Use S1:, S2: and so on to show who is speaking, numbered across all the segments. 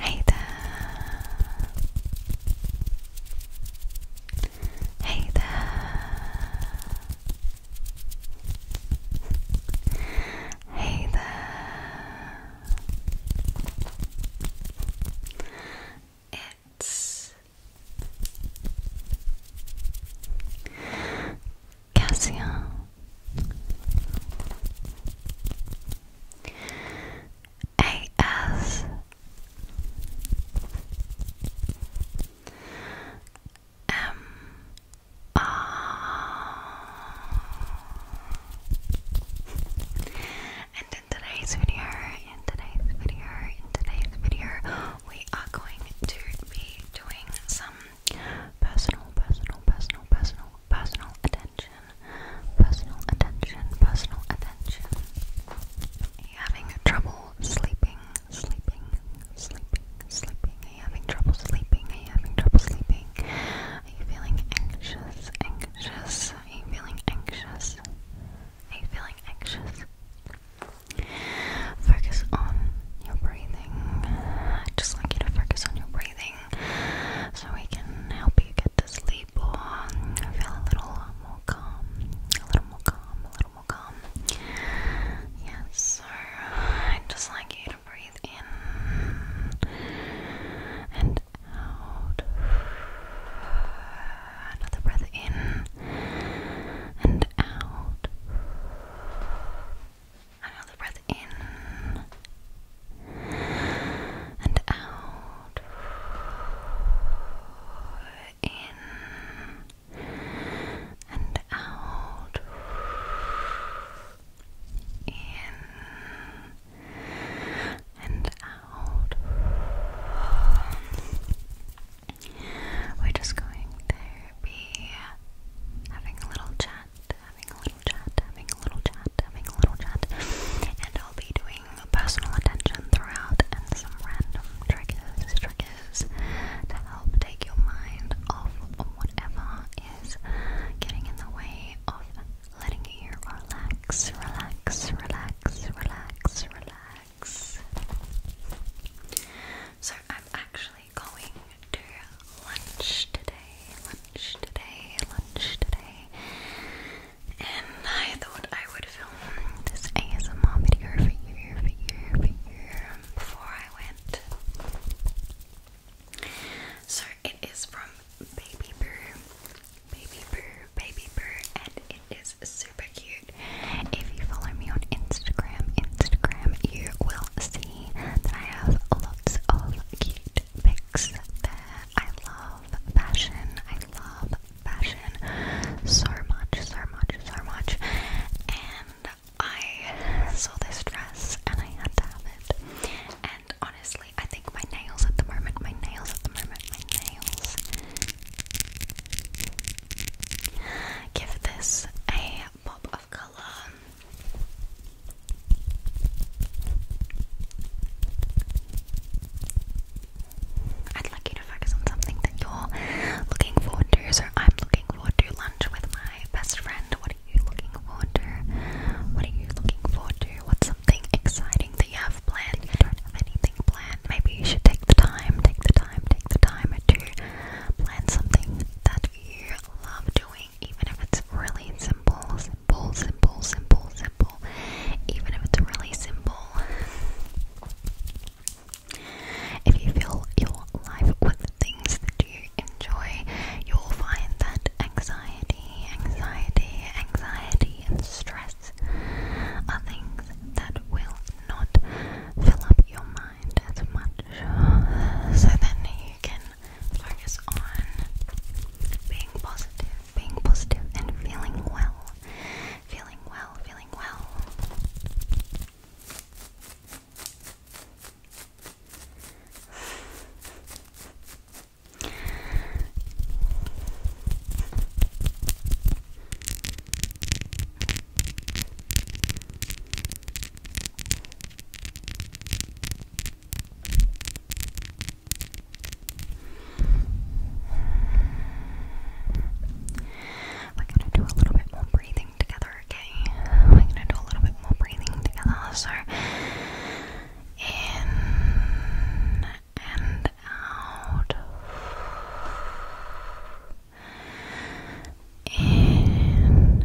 S1: Hey there. Hey there. Hey there. It's Cassia AS and in today's video, in today's video, in today's video, we are going to be doing some personal, personal, personal, personal, personal attention, personal attention, personal attention. Are you having trouble sleeping, sleeping, sleeping, sleeping? Are you having trouble sleeping? Are you having trouble sleeping? Are you feeling anxious, anxious? Are you feeling anxious? Are you feeling anxious? Focus on your breathing. I'd just like you to focus on your breathing so we can help you get to sleep or feel a little more calm, a little more calm, a little more calm. Yes, so i just like you to breathe in and out. Another breath in and out. Another breath in and out. In and out. In and out. We're just going to be having a little chat, having a little chat, having a little chat, having a little chat. And I'll be doing personal attention throughout and some random triggers, triggers to help take your mind off whatever is getting in the way of letting you relax, relax, relax, relax, relax. So I've actually going to lunch today, lunch today, lunch today. And I thought I would film this ASMR video for you, um, before I went. So it is from Baby Boo, Baby Boo, Baby Boo, and it is super cute. If you follow me on Instagram, Instagram, you will see that I have lots of cute pics there. I love fashion. I love fashion so much, so much, so much. And I saw this dress and I had to have it. And honestly, I think my nails at the moment, my nails at the moment, my nails give this a pop of color color. I'd like you to focus on something that you're looking forward to. So I'm looking forward to lunch with my best friend. What are you looking forward to? What are you looking forward to? What's something exciting that you have planned? If you don't have anything planned, maybe you should take the time, take the time, take the time to plan something that you love doing even if it's really simple, simple, simple, simple, simple, even if it's really simple. If you fill your life with things that you enjoy, you'll find that anxiety, anxiety, anxiety, and stress are things that will not fill up your mind as much. So then you can focus on being positive, being positive, and feeling well. Feeling well, feeling well. We're gonna do a little bit more breathing together, okay? We're gonna do a little bit more breathing together. So, in and out. In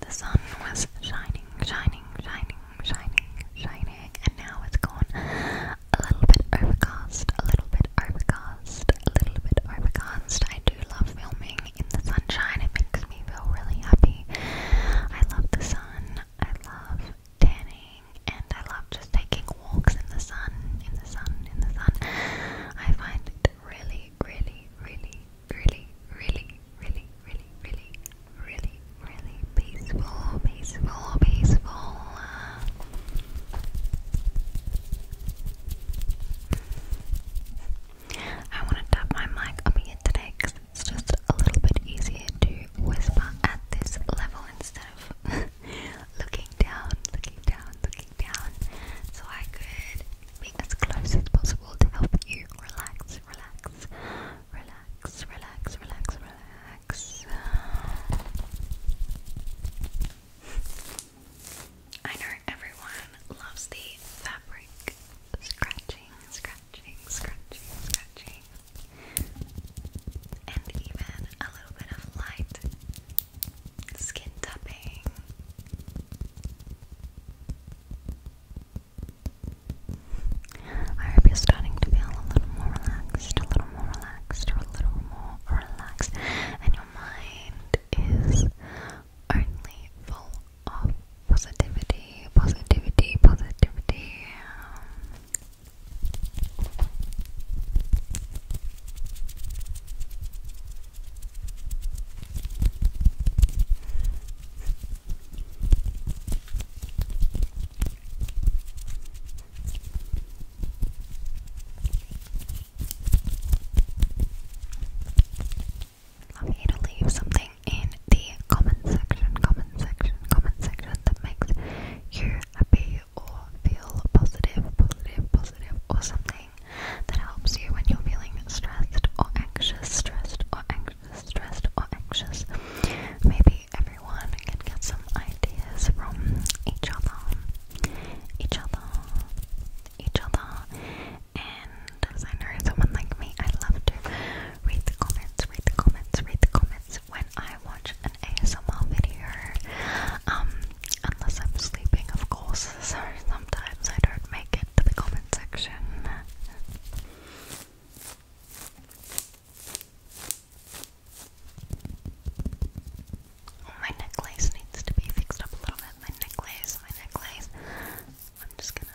S1: The sun was shining, shining, shining, shining, shining, and now it's gone a little bit overcast, a little bit overcast, a little bit overcast. I do love filming in the sunshine, it makes me feel really happy. I love the sun sun. I love tanning and I love just taking walks in the sun, in the sun, in the sun. I find it really, really, really, really, really, really, really, really, really, really peaceful, peaceful, peaceful. I want to tap my mic up here today because it's just a little bit easier to whisper at this level instead of looking down, looking down, looking down. So I could be as close as possible to help you relax, relax, relax, relax, relax, relax. I know everyone loves the fabric scratching, scratching scratching, scratching, and even a little bit of light skin tapping. I hope you're starting to feel a little more relaxed, a little more relaxed, a little more relaxed, and your mind is only full of positivity, positivity, positivity love you to leave something in the comment section, comment section, comment section that makes you happy or feel positive, positive, positive, or something that helps you when you're feeling stressed or anxious, stressed or anxious, stressed or anxious. Maybe everyone can get some ideas from each other, each other, each other, and friend, sign her someone like me. I love to read the comments, read the comments, read the comments when I watch an ASMR video. Um, unless I'm sleeping, of course. So sometimes I don't make it to the comment section. my necklace needs to be fixed up a little bit. My necklace, my necklace. I'm just gonna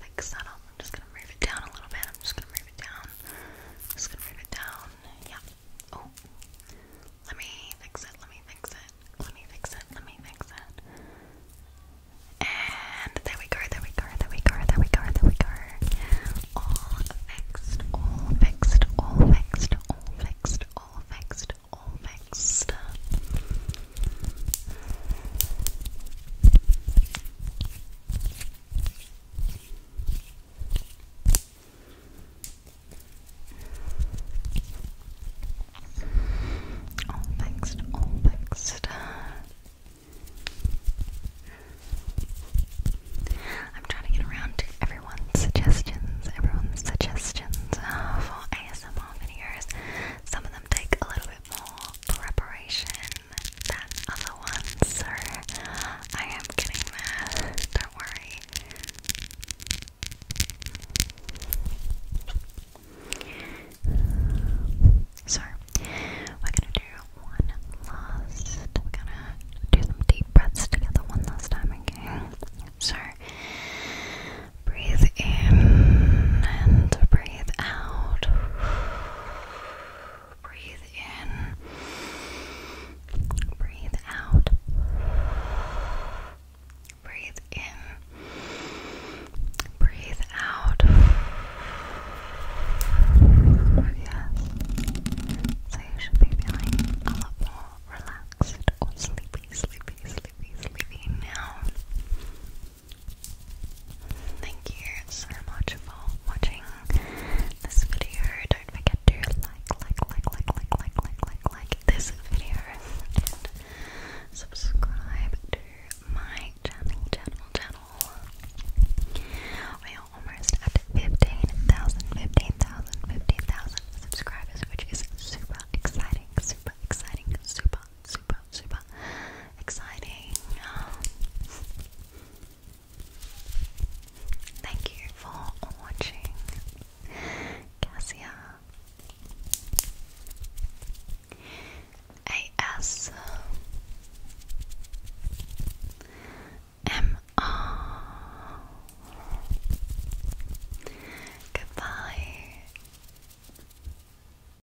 S1: like settle. I'm just gonna move it down a little bit. I'm just gonna move it down. I'm just gonna move it down. Yeah. Oh. Let me fix it. Let me fix it. Let me fix it. Let me fix it. And there we go. There we go. There we go. There we go. There we go. All fixed. All fixed. All fixed. All fixed. All fixed. All fixed. All fixed, all fixed. I'm trying to get around to everyone's suggestions, everyone's suggestions uh, for ASMR videos. Some of them take a little bit more preparation than other ones, so I am getting there, don't worry. So, we're gonna do one last, we're gonna do some deep breaths together one last time, okay? So, breathe in and breathe out. Breathe in, breathe out. Breathe in, breathe out. Yes. So you should be feeling a lot more relaxed or sleepy, sleepy, sleepy, sleepy now. Thank you so much for watching this video. Don't forget to like, like, like, like, like, like, like, like, like this video subscribe to my channel, channel, channel. We almost at 15,000, subscribers, which is super exciting, super exciting, super super, super exciting. thank you for watching, Cassia. AS Goodbye.